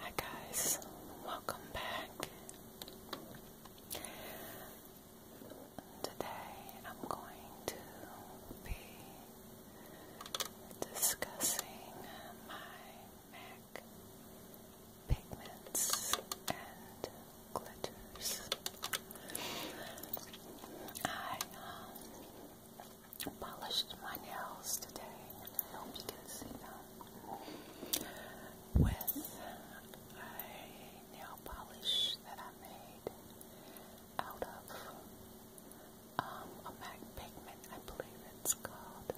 Hi guys, welcome back. Today I'm going to be discussing my MAC pigments and glitters. I um, polished my nails today, and I hope you can see them. With a nail polish that I made out of um, a MAC pigment, I believe it's called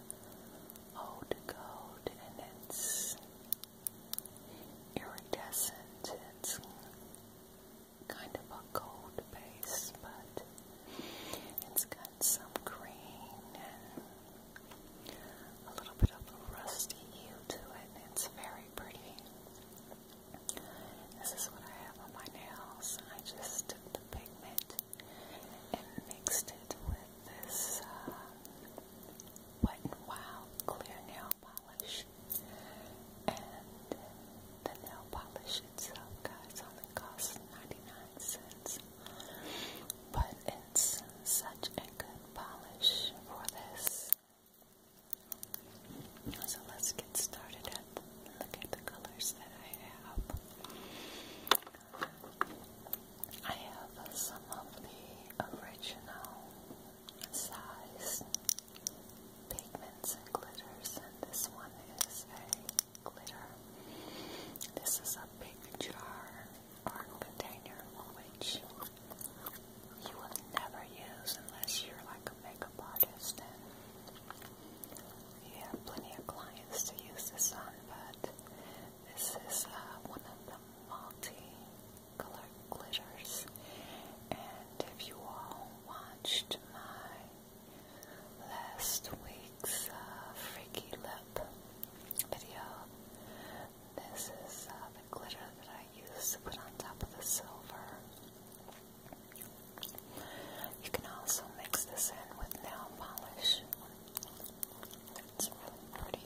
Old Gold, and it's iridescent. It's kind of a gold base, but it's got some green and a little bit of a rusty hue to it. It's very pretty. This is what I have on my nails. I just took the pigment and mixed it with this uh, Wet n Wild clear nail polish. And the nail polish itself, guys, only costs 99 cents. But it's such a good polish for this. So let's get started at look at the colors that I have. I have some of the original size pigments and glitters, and this one is a glitter. This is a big jar or container which you will never use unless you're like a makeup artist and you have plenty of clients to use this on, but this is uh, one of the multi-colored glitters and if you all watched my last week's uh, Freaky Lip video. This is uh, the glitter that I used to put on top of the silver. You can also mix this in with nail polish. It's pretty.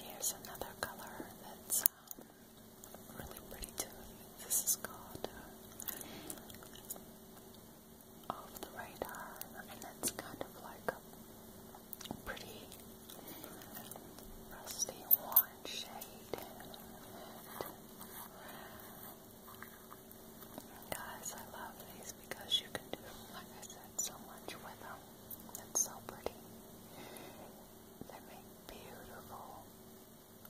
Here's another color that's um, really pretty too. This is called uh, Off the Radar, and it's kind of like a pretty rusty warm shade. guys, I love these because you can do, like I said, so much with them. That's so pretty. They make beautiful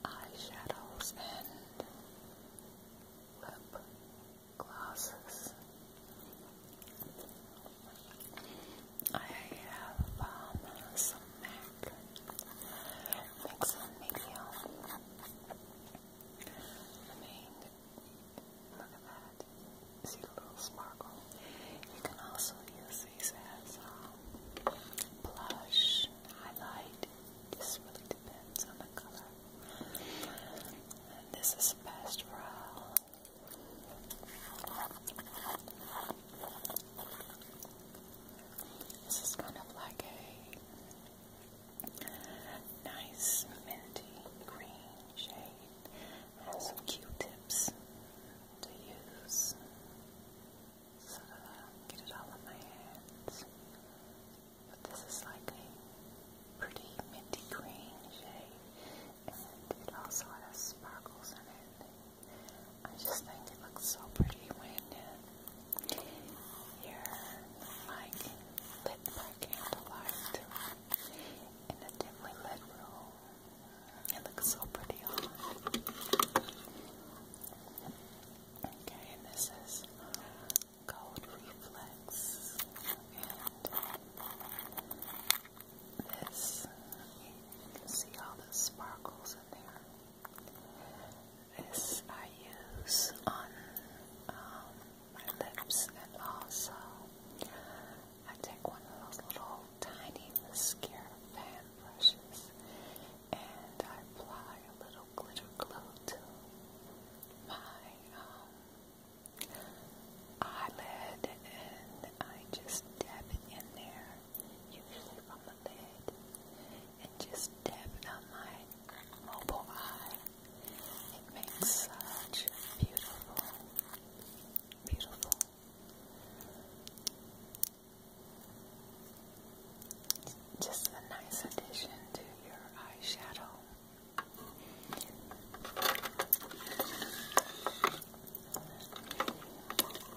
eyeshadows and lip glosses. I have um, some MAC mix and I mean, Look at that. See the little sparkle. You can also use these as um, blush, highlight. This really depends on the color. this is pastoral. This is kind of like a nice minty green shade some Q-tips to use so that I don't get it all on my hands. But this is like a pretty minty green shade, and it also has sparkles in it. I just think it looks so pretty when you're like lit by candlelight in a dimly lit room. It looks so pretty on. Okay, and this is uh, Gold Reflex. this, see all the sparkles in there. This I use on um, my lips and also I take one of those little tiny mascara fan brushes and I apply a little glitter glue to my um, eyelid and I just dab it in there, usually from the lid, and just dab it on my mobile eye. It makes such a beautiful Beautiful. just a nice addition to your eyeshadow.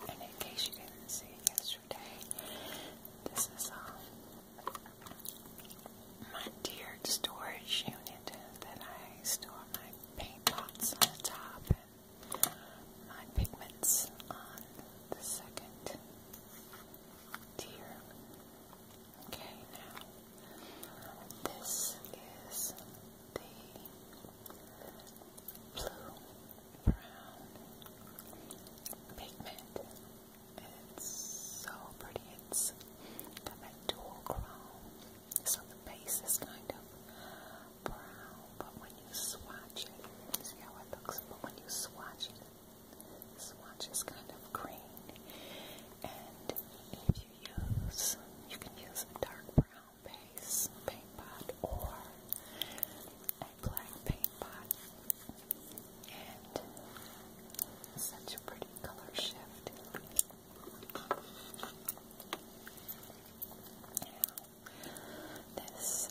And in case you didn't see it yesterday, this is um my tiered storage unit that I store my paint pots on the top and pigments on the second tier. Okay, now this is the blue brown pigment. It's so pretty. It's got that so the base is kind of brown, but when you swatch it, see how it looks, but when you swatch it, the swatch is kind of green. And if you use, you can use a dark brown base paint pot or a black paint pot. And such a pretty color shift. This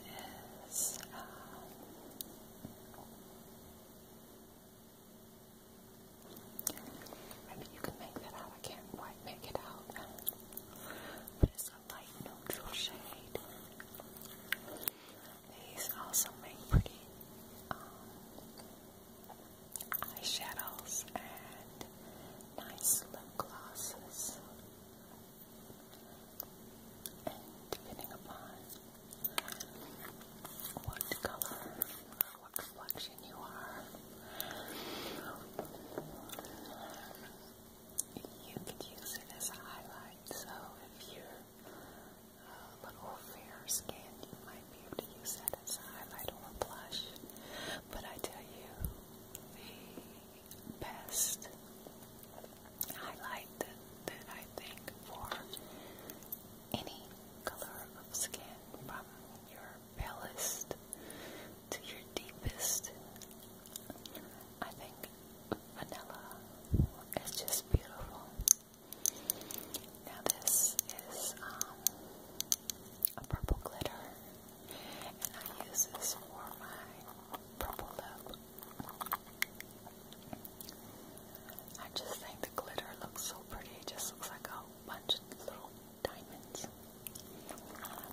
is maybe you can make that out. I can't quite make it out, but it's a light neutral shade. These also make pretty um, eyeshadows and nice lip glosses. And depending upon what color what complexion you are, you could use it as a highlight. So if you're a little fair skinned, you might be able to use that as a highlighter or blush. But I tell you, the best highlight that, that I think for any color of skin, from your palest to your deepest, I think vanilla is just beautiful. Now this is um, a purple glitter, and I use this for my purple lip. I just think the glitter looks so pretty. It just looks like a bunch of little diamonds.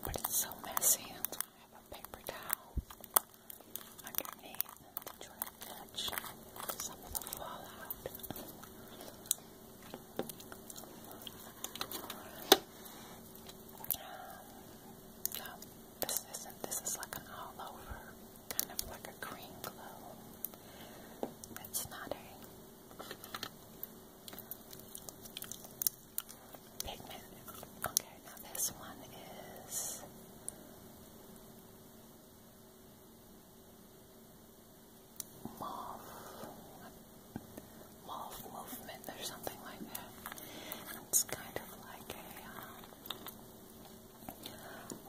But it's so messy, and I have a paper towel underneath to try to catch some of the fallout this isn't. This is like an all over, kind of like a green glow. That's not a pigment. Okay, now this one is mauve, mauve movement or something like that. It's kind of like a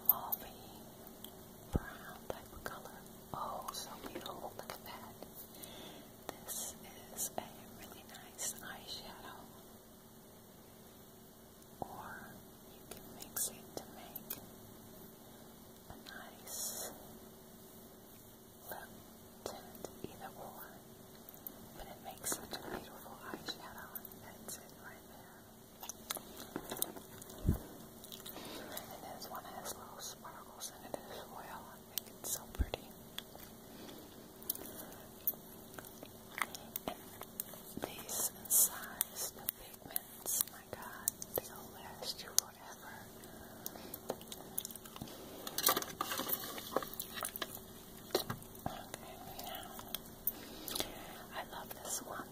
um, brown type of color. Oh, so beautiful! Look at that. This is a really nice eyeshadow. Or you can mix it to make a nice little tint either or, but it makes such a beautiful eyeshadow. That's it right there. And this one has little sparkles in it as well. I think it's so pretty. And these in size, the pigments, my god, they'll last you forever. Okay, now, I love this one.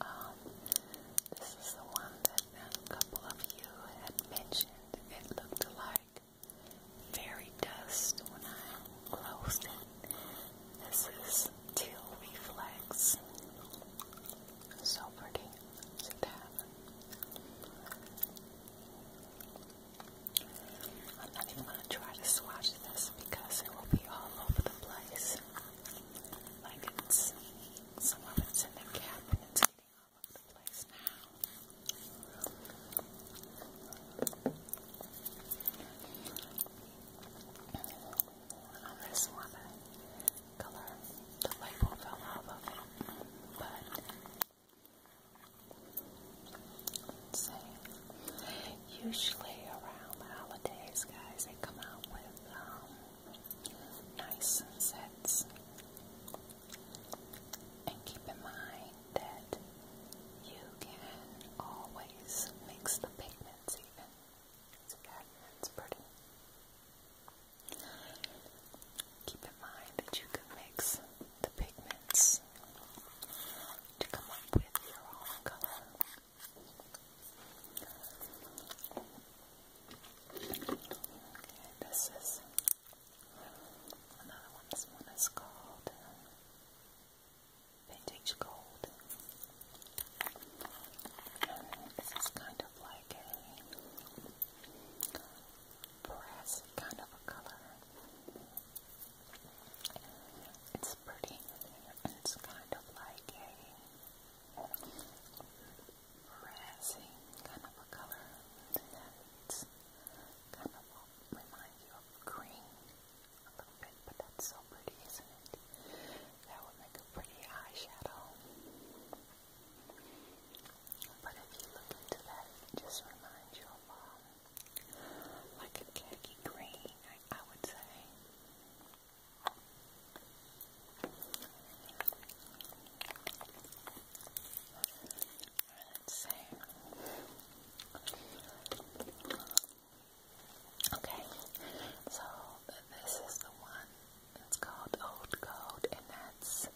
Um, this is the one that a couple of you had mentioned. It looked like fairy dust when I closed it. This is Teal Reflex. So pretty. I'm not even going to try to swatch this because it will be all over the place. Like it's, some of it's in the cap and it's getting all over the place now on this one color. The label fell out of it, but usually around the holidays, guys, they come out with um, nice sets. And keep in mind that you can always mix the pigments even. See that? That's pretty. Keep in mind that you can mix the pigments to come up with your own color. this is another one. This one is called Vintage Gold. This is kind of like a brass kind of a color. It's pretty, and it's kind of like a brassy kind of a color. That's kind of remind you of green a bit, but that's so pretty, isn't it? That would make a pretty eyeshadow. But if you look into that, it just reminds you of um, like a khaki green, I, I would say. Let's see. Um, okay, so this is the one it's called Old Gold, and that's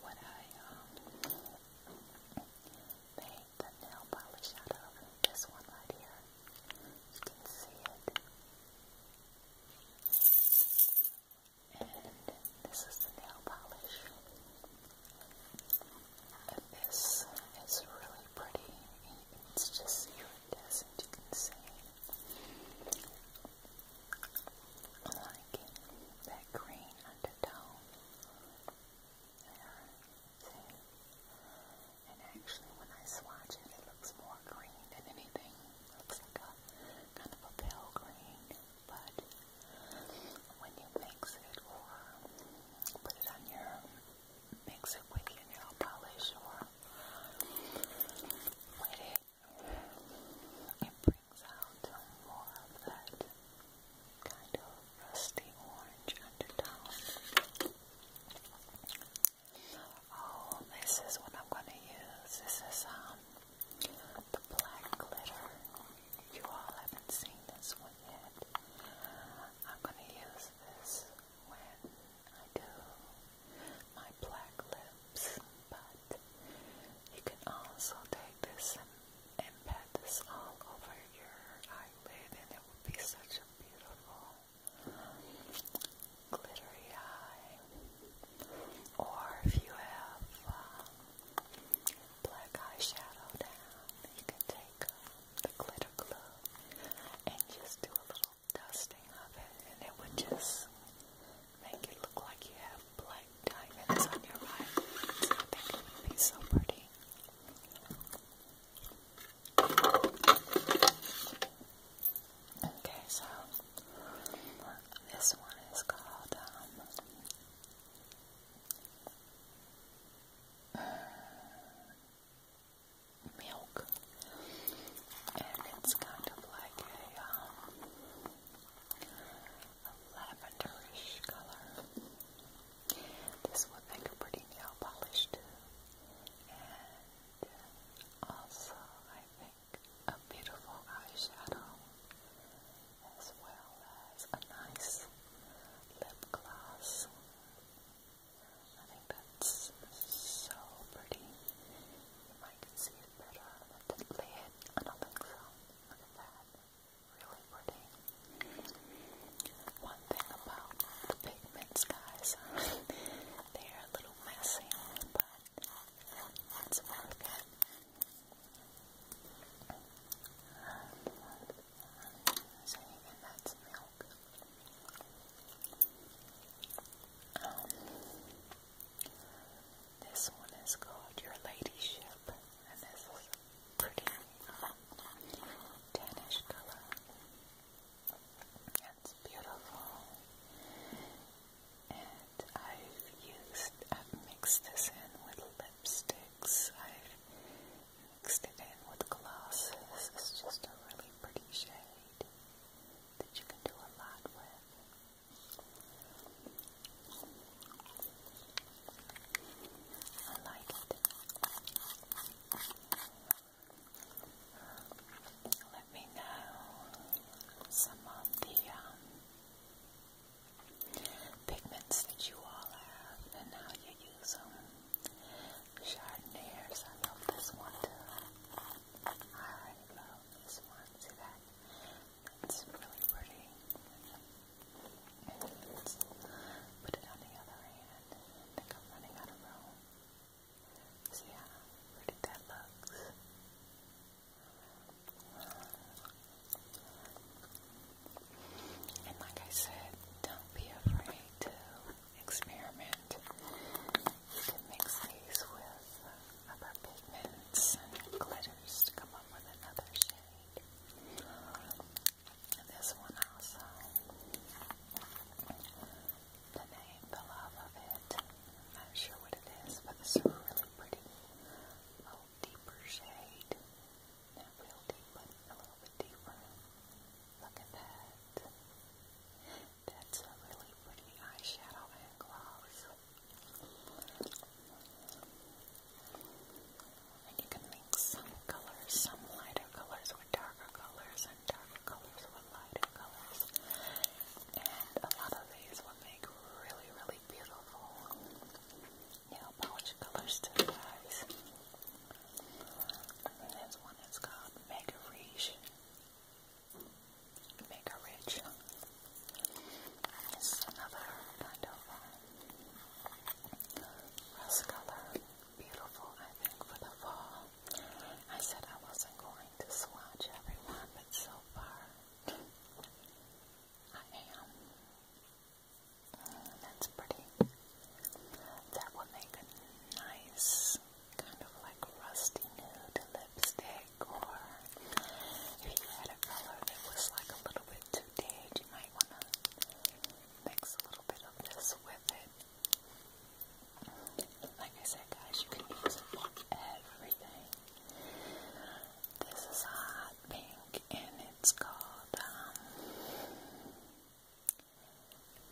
what I um, made the nail polish out of. This one right here. You can see it. And this is the nail polish. And this is really pretty. It's just you can see liking that green undertone there, And actually when I swatch it, it looks more green than anything. It looks like a kind of a pale green, but when you mix it or uh, put it on your mix it with your nail polish or wet it brings out more of that kind of rusty orange undertone. Oh, this is what I'm going to use. This is um the black glitter. You all haven't seen this one yet. I'm going to use this when I do my black lips, but you can also take this and, and pat this all over your eyelid and it will be such a beautiful glittery eye. Or if you have um, black eyeshadow down, you can take um, the glitter glue and just do a little dusting of it and it would just make it look like you have black diamonds on your eye. I think it would be so pretty. Okay, so this one is called um, milk, and it's kind of like a, um, lavenderish color. This would make a pretty nail polish too, and also I think a beautiful eyeshadow, as well as a nice lip gloss. That's so pretty. You might see it better with I don't think so. Really pretty. One thing about the pigments, guys, they are a little messy, but it's worth it. So and that's milk. Um, this one is called Your Ladyship, and this is a pretty tannish color. It's beautiful, and I've used, I've mixed this in with lipsticks. I've mixed it in with glosses. It's just a really pretty shade that you can do a lot with. I like it. Um, let me know some of the um, pigments that you all have and how you use them. Chardonnaires, I love this one too. I love this one. See that? It's really pretty. let put it on the other hand. I think I'm running out of room. See how pretty that looks? And like I said, don't be afraid to experiment. You can mix these with other pigments glitters to come up with another shade. this one also, the name, the love of it, not sure what it is, but it's really pretty little deeper shade. Not real deep, but a little bit deeper. Look at that. That's a really pretty eyeshadow and gloss. And you can mix some colors, some lighter colors with darker colors, and darker colors with lighter colors. And a lot of these will make really, really beautiful nail polish colors to the eyes. this one is called Mega Reach make her rich. It's another kind of uh, um, rust color. Beautiful, I think, for the fall. I said I wasn't going to swatch everyone, but so far I am. Mm, that's pretty. That would make a nice this kind of like rusty nude lipstick, or if you had a color that was like a little bit too dead, you might want to mix a little bit of this with it. Like I said, guys, you can use it for everything. This is hot pink, and it's called um,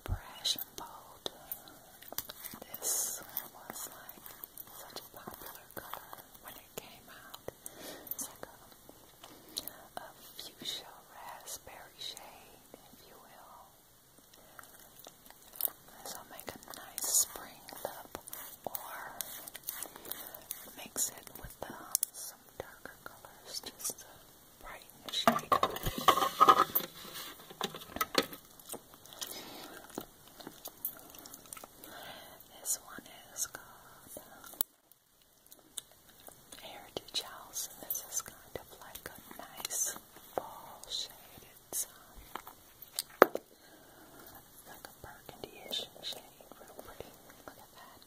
Brash and Bold. This was like such a popular color when it came out. It's like a, a fuchsia raspberry shade, if you will. This will make a nice spring lip or mix it with um, some darker colors just to brighten the shade. This one is called Heritage uh, House, this is kind of like a nice ball shade. It's like a burgundy-ish shade, real pretty. Look at that.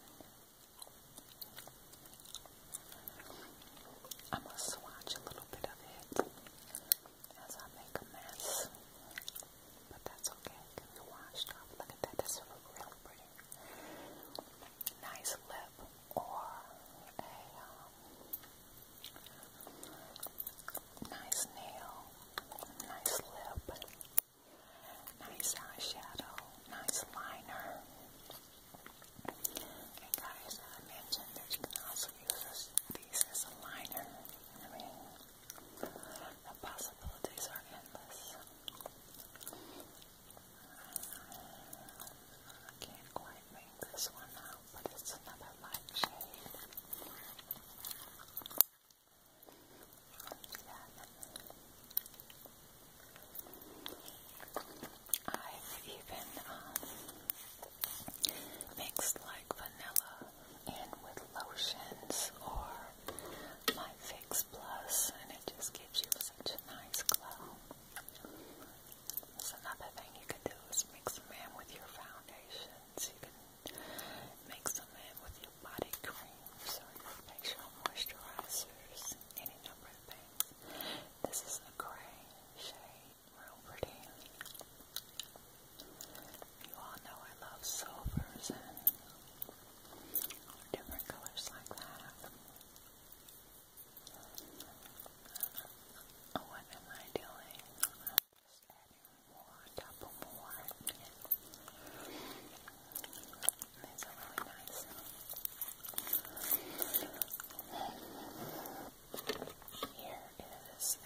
I'm going to swatch a little bit of it as I make a mess. But that's okay, it can be washed off. Look at that, that's really pretty. Nice lip or a um, nice nail, nice lip, nice eyeshadow, nice liner. And guys, I mentioned that you these as a liner. I mean, the possibilities are endless. I can't quite make this one out, but it's another light shade. I've even um, mixed like vanilla in with lotions or my Fix Plus, and it just gives you such a nice glow. That's another thing you can do is mix them in with your foundations. You can mix them in with your body creams or your moisturizers, any number of things. This is a gray shade real pretty. You all know I love silvers and different colors like that. Uh, what am I doing? I'm just adding more on more. These are really nice. Here is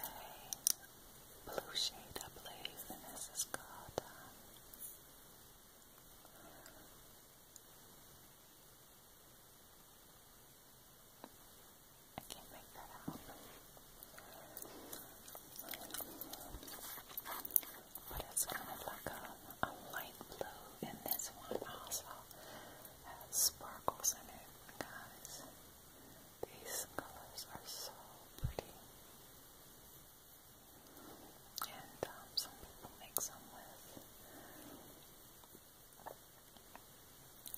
a blue shade, I believe, and this is called um, I can't make that out. But it's kind of like a light blue, and this one also has sparkles in it. Guys, these colors are so pretty. And um, some people mix them with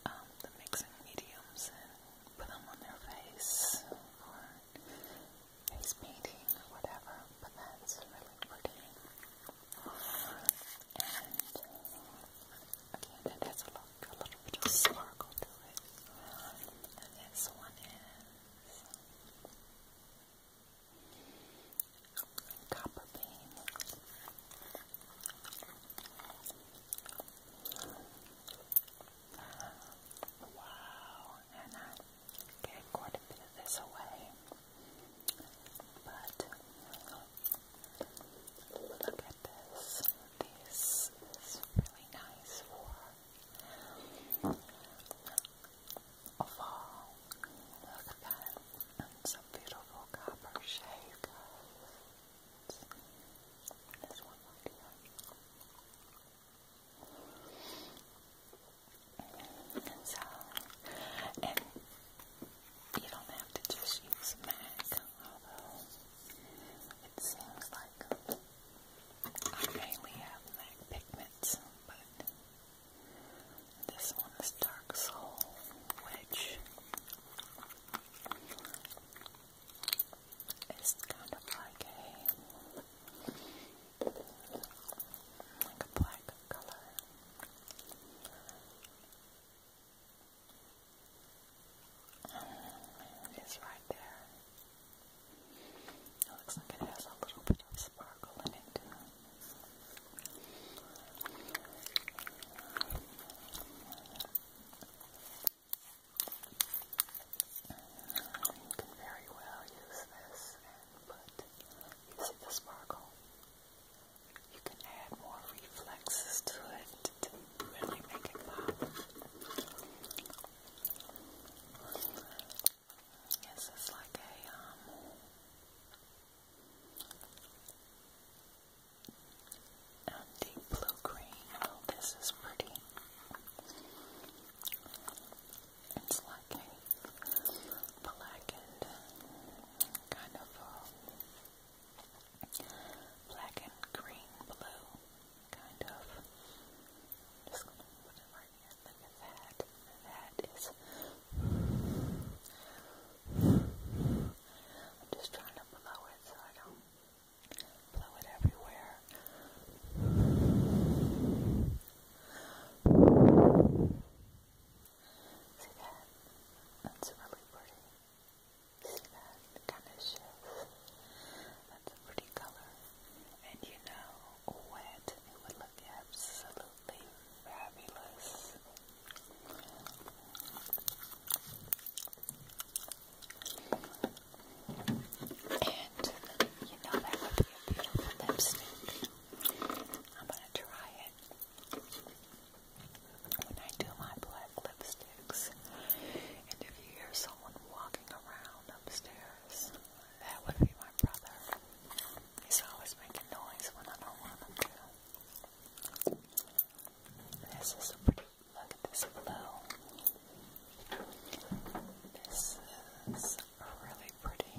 um, the mixing mediums and put them on their face or face painting or whatever, but that's really pretty. And Again, it has a little, a little bit of sparkle to it. And this one is copper Wow, and I gave quite a bit of this away, but Look at this. This is really nice for fall. Look at that. It's beautiful copper shade, This one And so, and you don't have to just use MAC although it seems like I mainly have MAC pigments, but this one is Dark Soul, which is kind of like a like a black color. Um, it is right there. It looks like it has a little bit of sparkle in it. You can very well use this and put, you the sparkle? You can add more reflexes to it to really make it pop. Yes, it's like a um, a um, deep blue green. Oh, this is pretty. It's like a blackened kind of a um, black and green blue, kind of. just put it right here. Look at that. That is. I'm just trying to blow it so I don't blow it everywhere. See that? That's really pretty that kind of shift. That's a pretty color. And you know, wet, it would look absolutely fabulous. And you know that would be a beautiful lipstick. I'm gonna try it when I do my black lipsticks. And if you hear someone walking around upstairs, that would be my brother. He's always making noise when I don't want him to. This is a pretty look at this blue. This is really pretty.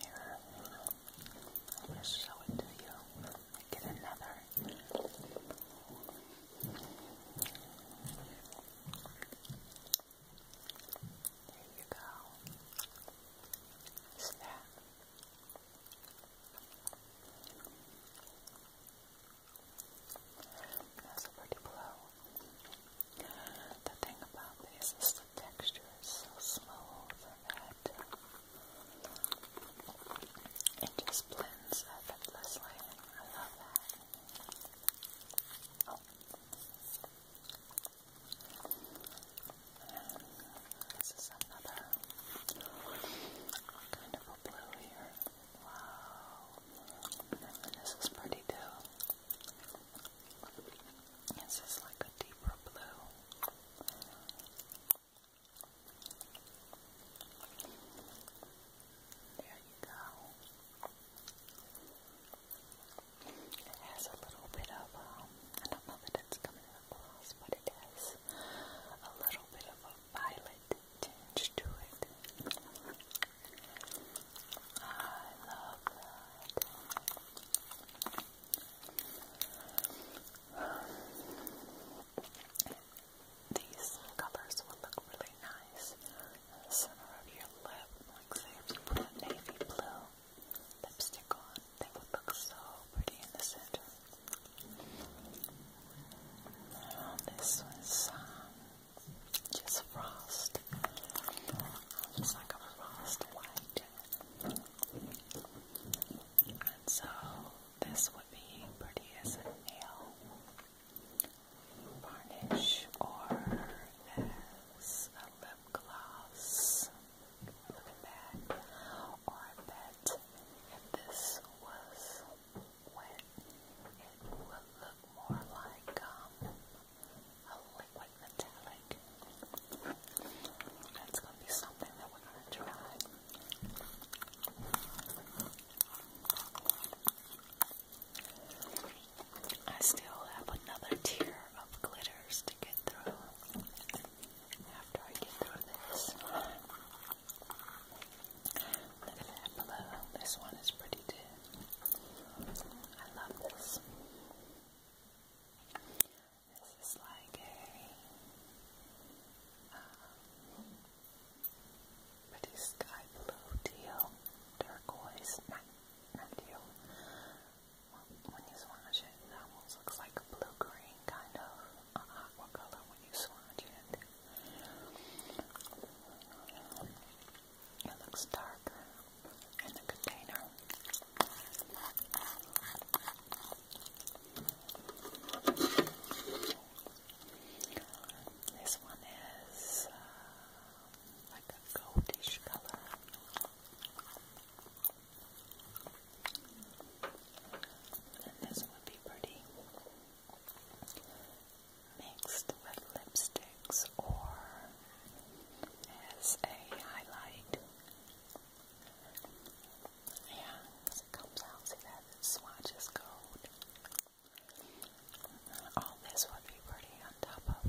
Here, I'm going to show it to you. Get another. There you go. What's that? That's a pretty blow. The thing about this is just the texture is so smooth that it just blends effortlessly. I love that. Oh. this is another kind of a blue here. Wow. And this is pretty too. This is like a deeper blue. There you go. It has a little bit of, um, I don't know that it's coming across, but it has a little bit of a violet tinge to it. I love that. These colors will look really nice on the center of your lip. Like if you put a navy blue lipstick on, they would look so pretty in the center. Now this one's um, just frost. It's like a frost white. And so this would be pretty as a nail varnish or as a lip gloss. Look that. Or I if this was wet, it would look more like um, a liquid metallic. That's gonna be something that we're gonna try. I still have another tier of glitters to get through after I get through this. Look at that below. This one is pretty too. I love this. This is like a pretty sky blue teal, turquoise, not, When you swatch it, it almost looks like a blue green kind of uh, color when you swatch it. It looks darker in the container. This one is uh, like a goldish color. And this would be pretty mixed with lipsticks or as a highlight. Yeah, it comes out, see that the gold. All this would be pretty on top of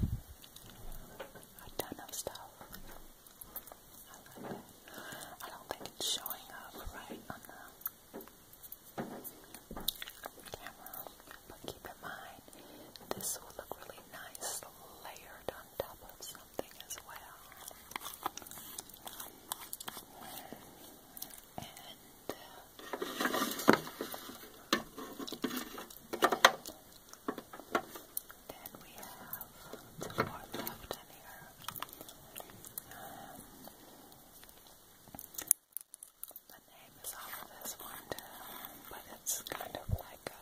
a ton of stuff. I don't think it's showing up right on the camera, but keep in mind this will look really nice layered on top of something as well. And then we have two more left in here. Um, the name is off of this one too, but it's kind of like a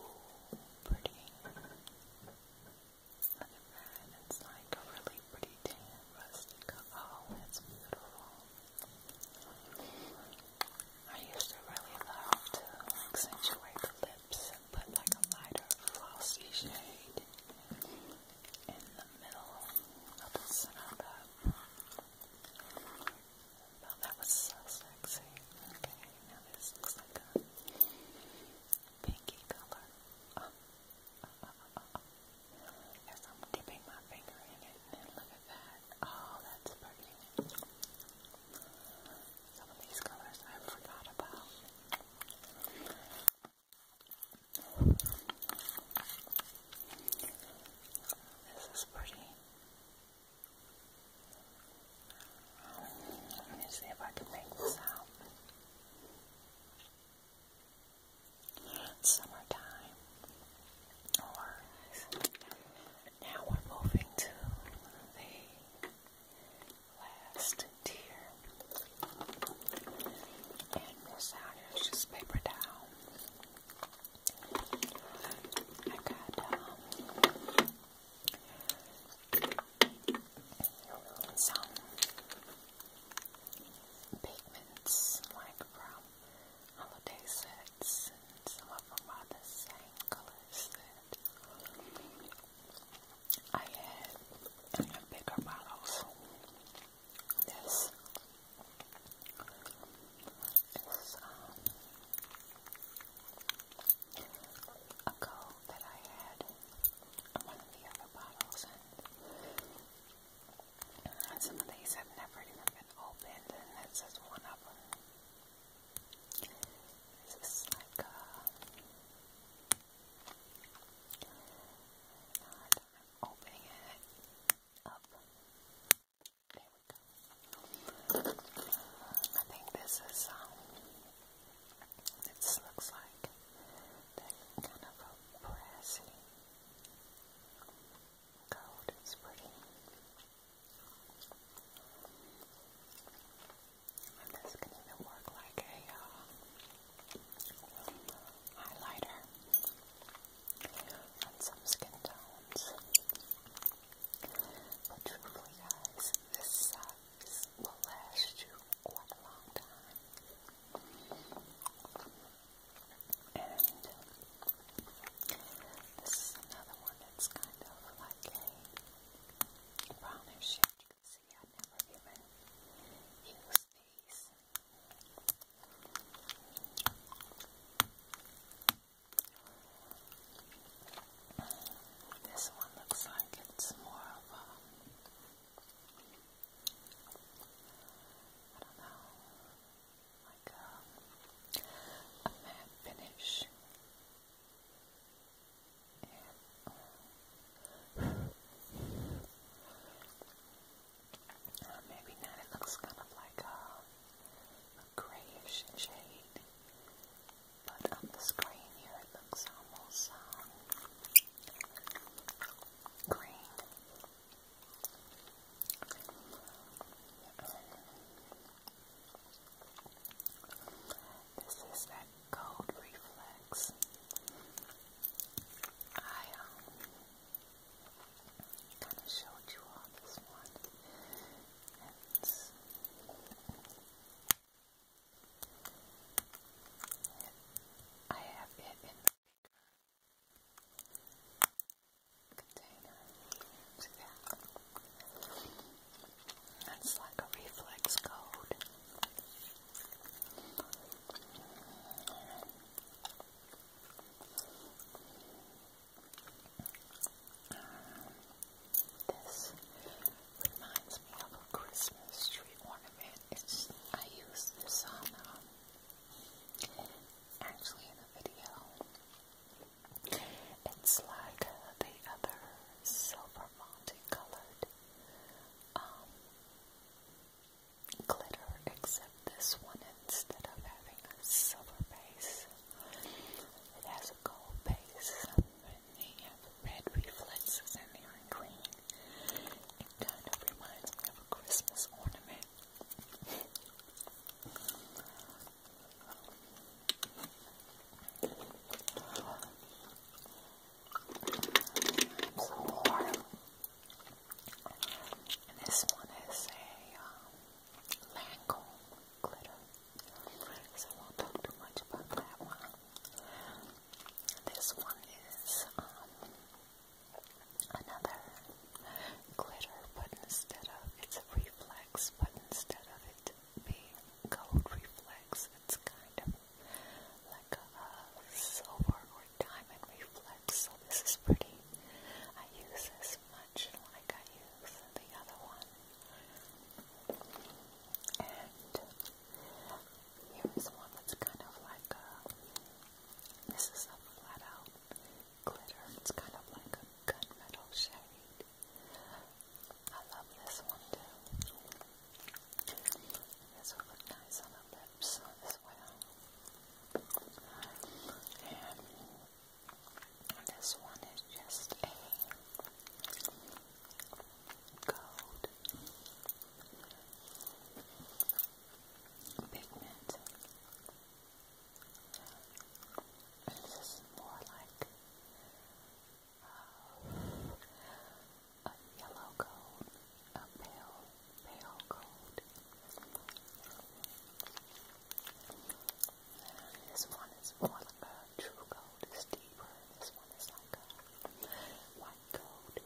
ooh, pretty. Look at that, it's like a really pretty tan rustic. Oh, it's beautiful. I used to really love to accentuate the lips put like a lighter glossy shade in the middle of the center of that was so sexy. Okay, now this looks like a pinky color. Oh, oh, oh, oh I'm dipping my finger in it, and look at that. Oh, that's pretty. Some of these colors I forgot about. This is pretty. Let me see if I can make this out. Summertime, or now we're moving to the last tier, and this out is just paper towel. I got um, some pigments like from holiday sets some of them are the same colors that I had in the bigger bottles. This is um a coat that I had in one of the other bottles, and uh, some of these have never even been opened, and this is one of them. This is like a uh, opening it up. I think this is, um, this looks like kind of a brassy gold. It's pretty. And this can even work like a uh, highlighter on some skin tones. But truthfully, guys, this size will last you quite a long time. And this is another one that's kind of like a brownish You can see I never even used these. This one looks like it's more of a, I don't know, like a, a matte finish. Yeah. maybe not. It looks kind of like a, a grayish shade. But on the screen here it looks almost um, green. This is that cold reflex. I um, kind of showed you all this one it's it, I have it in the bigger container. See that? That's like a reflex code. This reminds me of a Christmas tree ornament. It's I used this um, actually in a video. It's like the other silver multicolored um, glitter, except this one instead of having a silver base. It has a gold base, and they have red reflexes, and they are green. It kind of reminds me of a Christmas ornament. And this one is a um, glitter so I won't talk too much about that one. This one is um, another glitter, but instead of it's a reflex, but instead of it being gold reflex, it's kind of like a, silver or diamond reflex. So this is pretty. I use this in like I use the other one. And here's one that's kind of like a, this is a flat out glitter. It's kind of like a gunmetal shade. I love this one too. This will look nice on the lips as well. This one is just a gold pigment. this is more like uh, a yellow gold, a pale, pale gold. This one is more like a true gold, it's deeper, this one is like a white gold.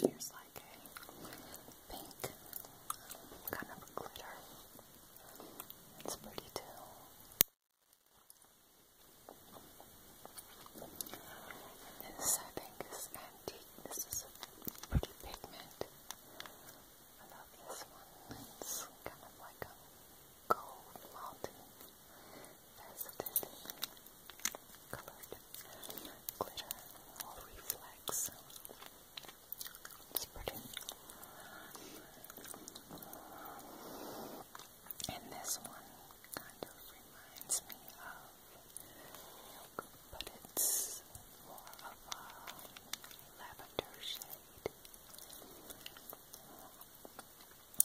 Here's like a pink kind of glitter. It's pretty too this, I think, is antique. This is a pretty pigment. I love this one. It's kind of like a gold multi colored glitter or reflex. It's pretty. And this one kind of reminds me of milk, but it's more of a lavender shade.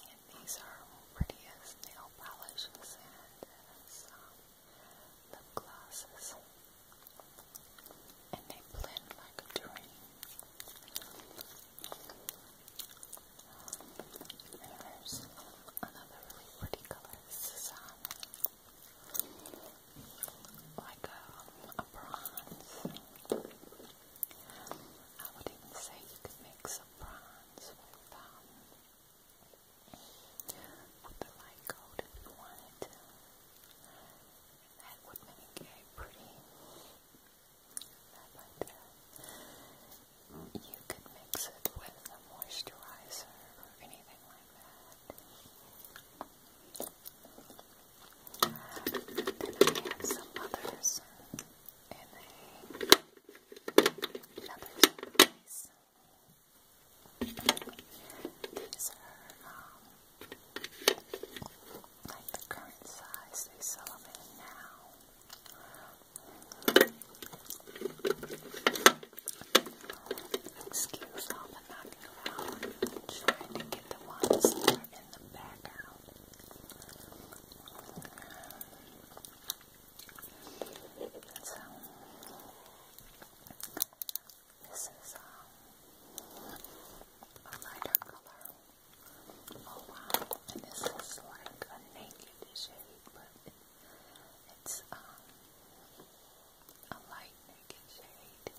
And these are pretty nail polishes and as um, And they blend like a dream. There's another really pretty color, Like a, a bronze. I would even say you could mix a bronze with, um, light gold if you wanted that would make a pretty that uh, You could mix it with a moisturizer or anything like that. Then some others in another case. These are um, like the current size. They sell them in now. Excuse all the knocking around. I'm trying to get the ones that are in the back out. So, um, this is um, a lighter color. Oh wow, and this is like a naked shade, but it's um, a light naked shade,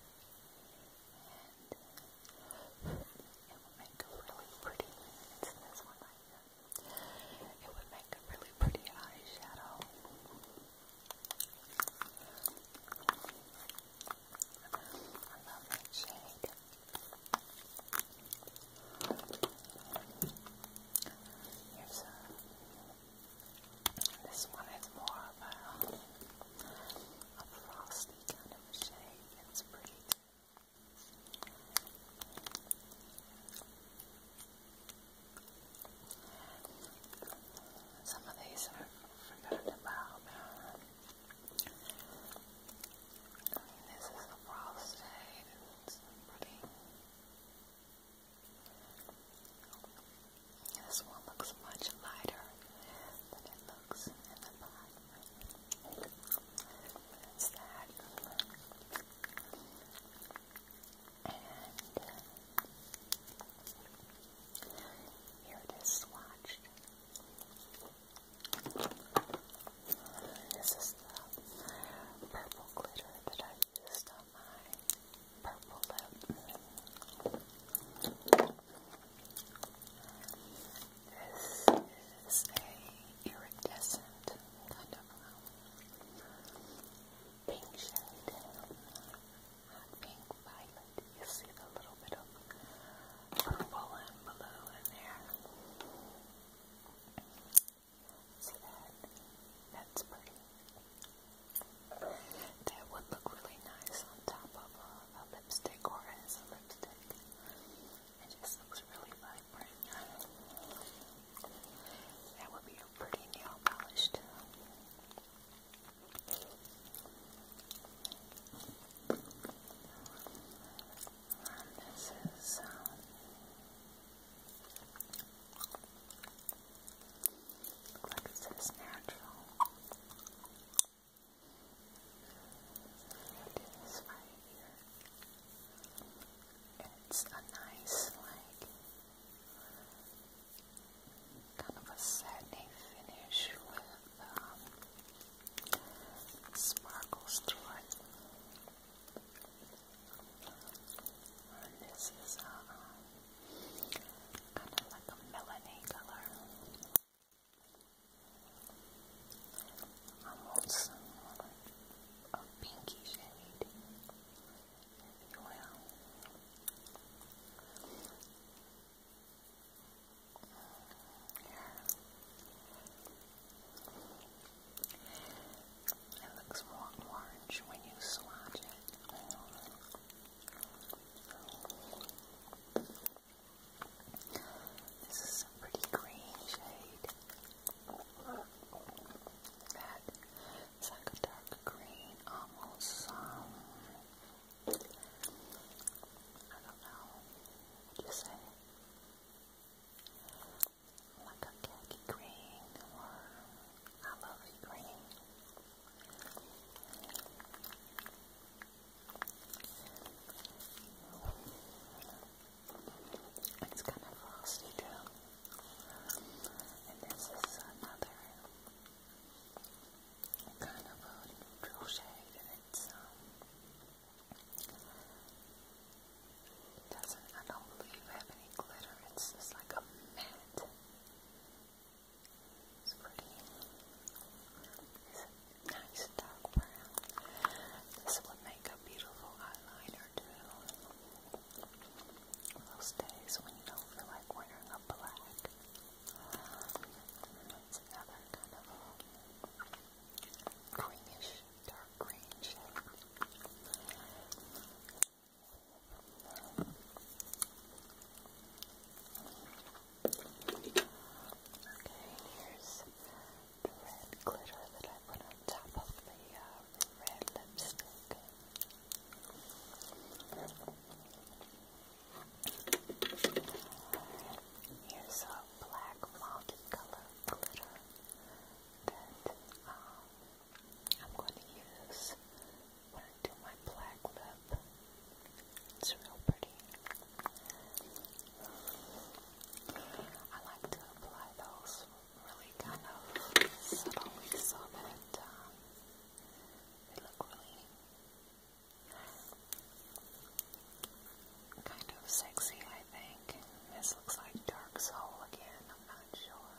and it would make a really pretty. It's this one right It would make a really pretty eyeshadow. I love that shade. Uh, this one is more of a, frosty kind of a It's pretty Some of these I've forgotten about this is the prostate and This one looks much lighter than it looks in the pot. That's And uh, here it is swatched. This is the purple glitter that I used on my purple lip. This is a iridescent kind of um, pink shade. Hot pink violet. You see the little bit of purple and blue in there. See that? That's pretty. That would look really nice on top of a, lipstick or as a lipstick. It just looks really vibrant. That would be a pretty nail polish too. And this is um, look like natural. i right here. It's a nice, like, kind of a satiny finish with um, sparkles through it. And this is a uh, kind of like a melony color. Almost um, a pinky shade, if you will. It looks more orange when you swatch it. This is a pretty green shade. That is like a dark green, almost um, I don't know. What do you say? like a khaki green or a lovely green. It's kind of frosty too. And this is another kind of neutral shade, and it's um, doesn't, I don't believe, have any glitter. It's just like a matte. It's pretty. It's a nice dark brown. This would make a beautiful eyeliner too. Those days when you don't feel like wearing a black. another kind of uh, greenish dark green Okay, here's the red glitter that I put on top of the uh, red lipstick. Here's a black multi color glitter that um, I'm going to use when I do my black lip. It's real pretty. I like to apply those really kind of subtly so that um, they look really kind of sexy, I think. This looks like Dark Soul again, I'm not sure.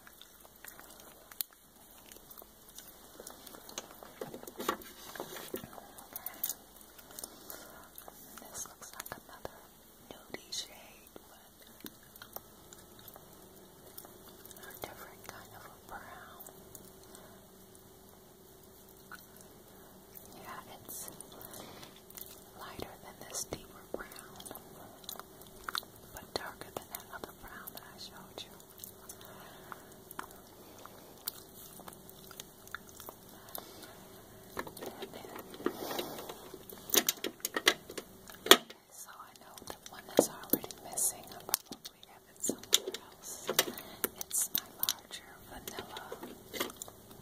This looks like another nudie shade, but a different kind of a brown. Yeah, it's lighter than this deeper brown, but darker than that other brown that I showed you. So I know the one that's already missing, I probably have somewhere else. It's my larger vanilla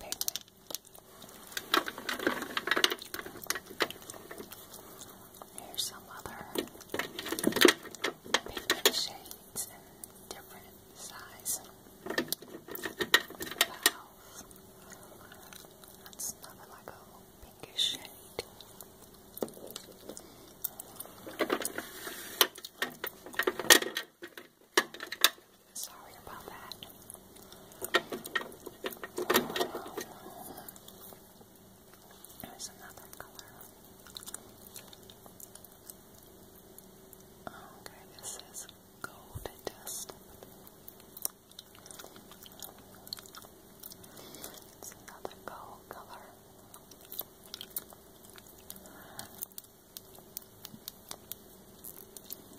pigment there's some other pigment shades in different size. Valve. That's another like a little pinkish shade. Sorry about that. There's another color. Oh, okay, this is gold dust. It's another gold color.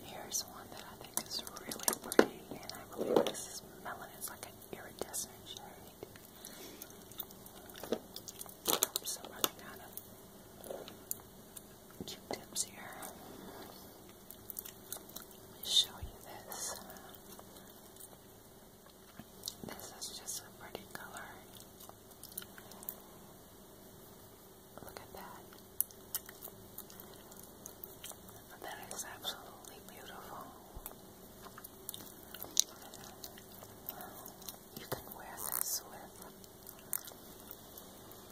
Here's one that I think is really pretty, and I believe this is melon. It's like an iridescent shade. Some kind of Q-tips here. Let me show you this. This is just a pretty color. Look at that. That is absolutely beautiful. You can wear this with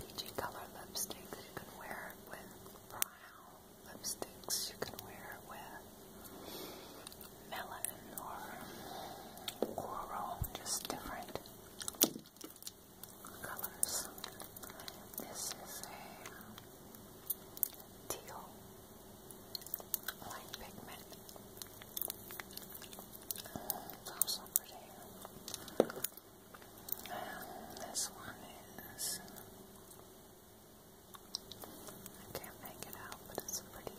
peachy color lipstick. You can wear with brown lipsticks. You can wear with melon or coral, just different colors. This is a um, teal light pigment. It's also pretty. And this one is. I can't make it out, but it's a pretty,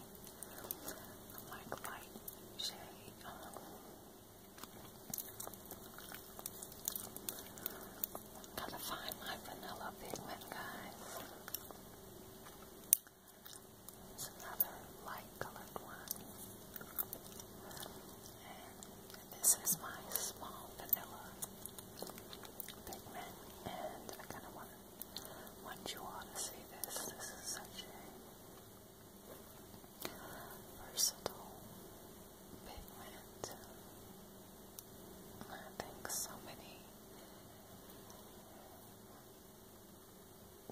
light shade. Um, Gotta find my vanilla pigment, guys. It's another light colored one. And this is my small vanilla pigment. And I kind of want, want you all to see this. This is such a versatile pigment. I think so many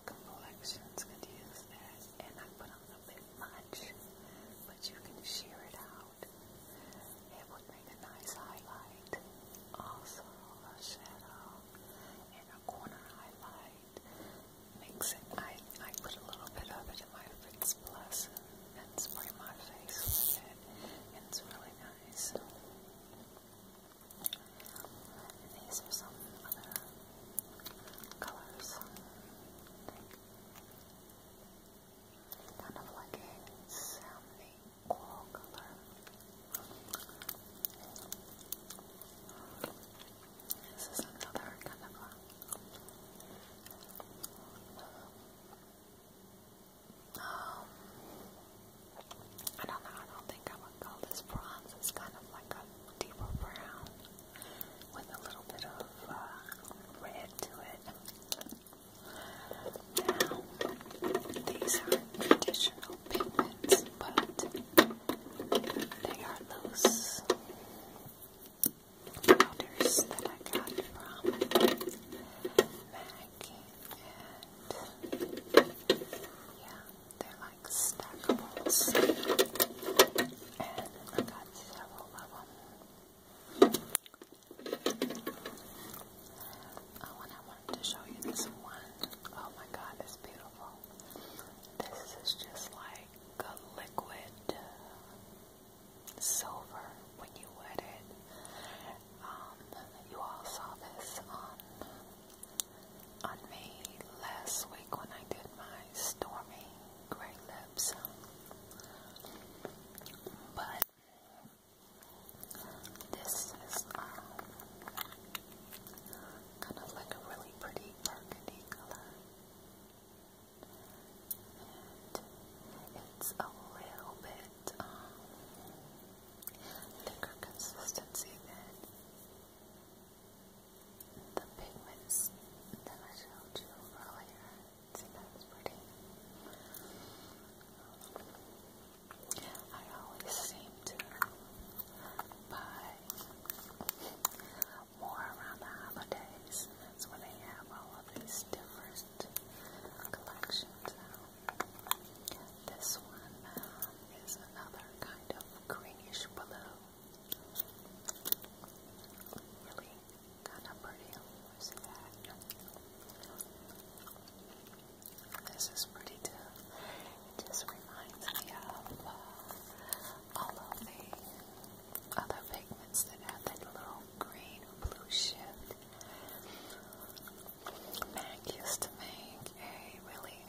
complexions could use that, and I put on a bit much, but you can shear it out. It would make a nice highlight, also a shadow, corner highlight, mix it. I, I put a little bit of it in my Fix Plus and, spray my face with it, it's really nice. And these are some other colors. Kind of like a salmon coral color. Um, I don't think I would call this bronze. It's kind of like a deeper brown with a little bit of uh, red to it. Now, these are traditional pigments but they are loose powders that I got from Maggie, and yeah, they're like stackables, and I got several of them. Uh, I wanted to show you this one. Oh my god, it's beautiful. This is just like like liquid silver when you wet it. Um, you all saw this on on me last week when I did my stormy gray lips, but this is um, kind of like a really pretty burgundy color. And it's a little bit thicker um, consistency than the pigments that I showed you earlier. See, that's pretty. I always seem to buy more around the holidays. That's when they have all of these different collections out. This one um, is another kind of greenish blue. Really kind of pretty. This is pretty too. It just reminds me of uh, all of the other pigments that have that little green or blue shift. Mac used to make a really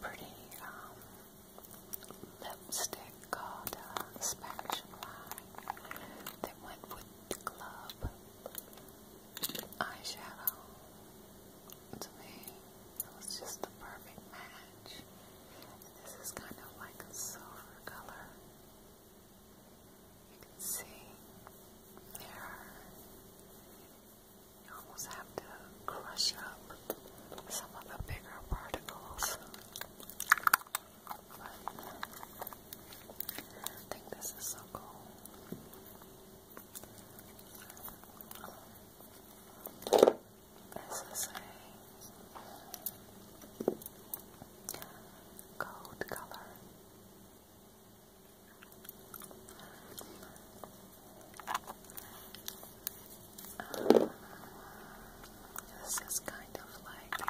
pretty um, lipstick called uh, Spanish that went with the club eyeshadow to me, it was just the perfect match. this is kind of like a silver color. You can see there. You almost have to crush up some of the bigger particles. But I think this is so cool. This is a color. this is kind of like a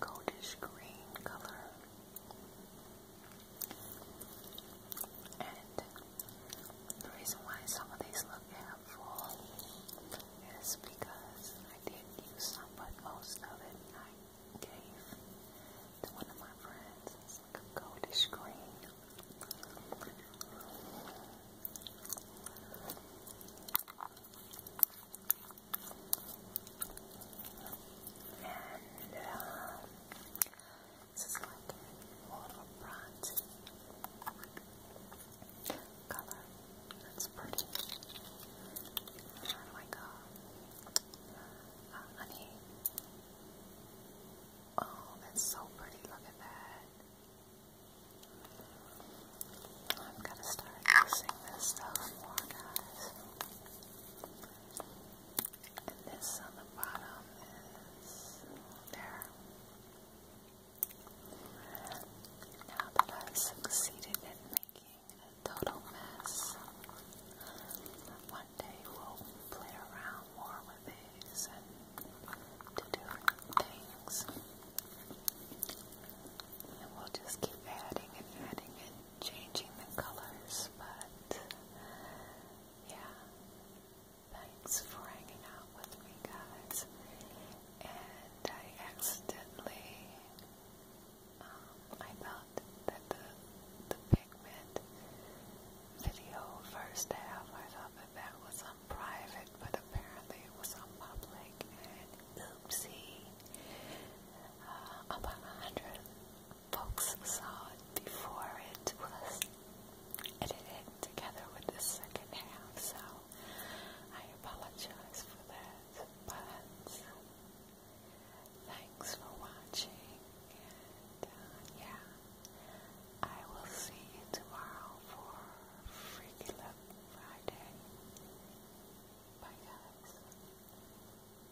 goldish green color. And the reason why some of these look half is because I didn't use some, but most of it I gave to one of my friends. It's like a And uh, this is like more of a color. It's pretty. And like a honey. Oh, that's so pretty. Look at that. I'm gonna start using this stuff more, guys. And this on the bottom is there. Now that I've succeeded in making a total mess, one day we'll play around more with these and do things. And we'll just keep adding and adding and changing the colors, but yeah. Thanks for hanging out with me, guys. And I accidentally, um, I thought that the, the pigment video first half, I thought that that was on private, but apparently it was on public. And oopsie. Uh, about a hundred folks saw it before it was edited together with the second half, so I apologize for that, but thanks for watching, and uh, yeah, I will see you tomorrow for Freaky Love Friday. Bye guys.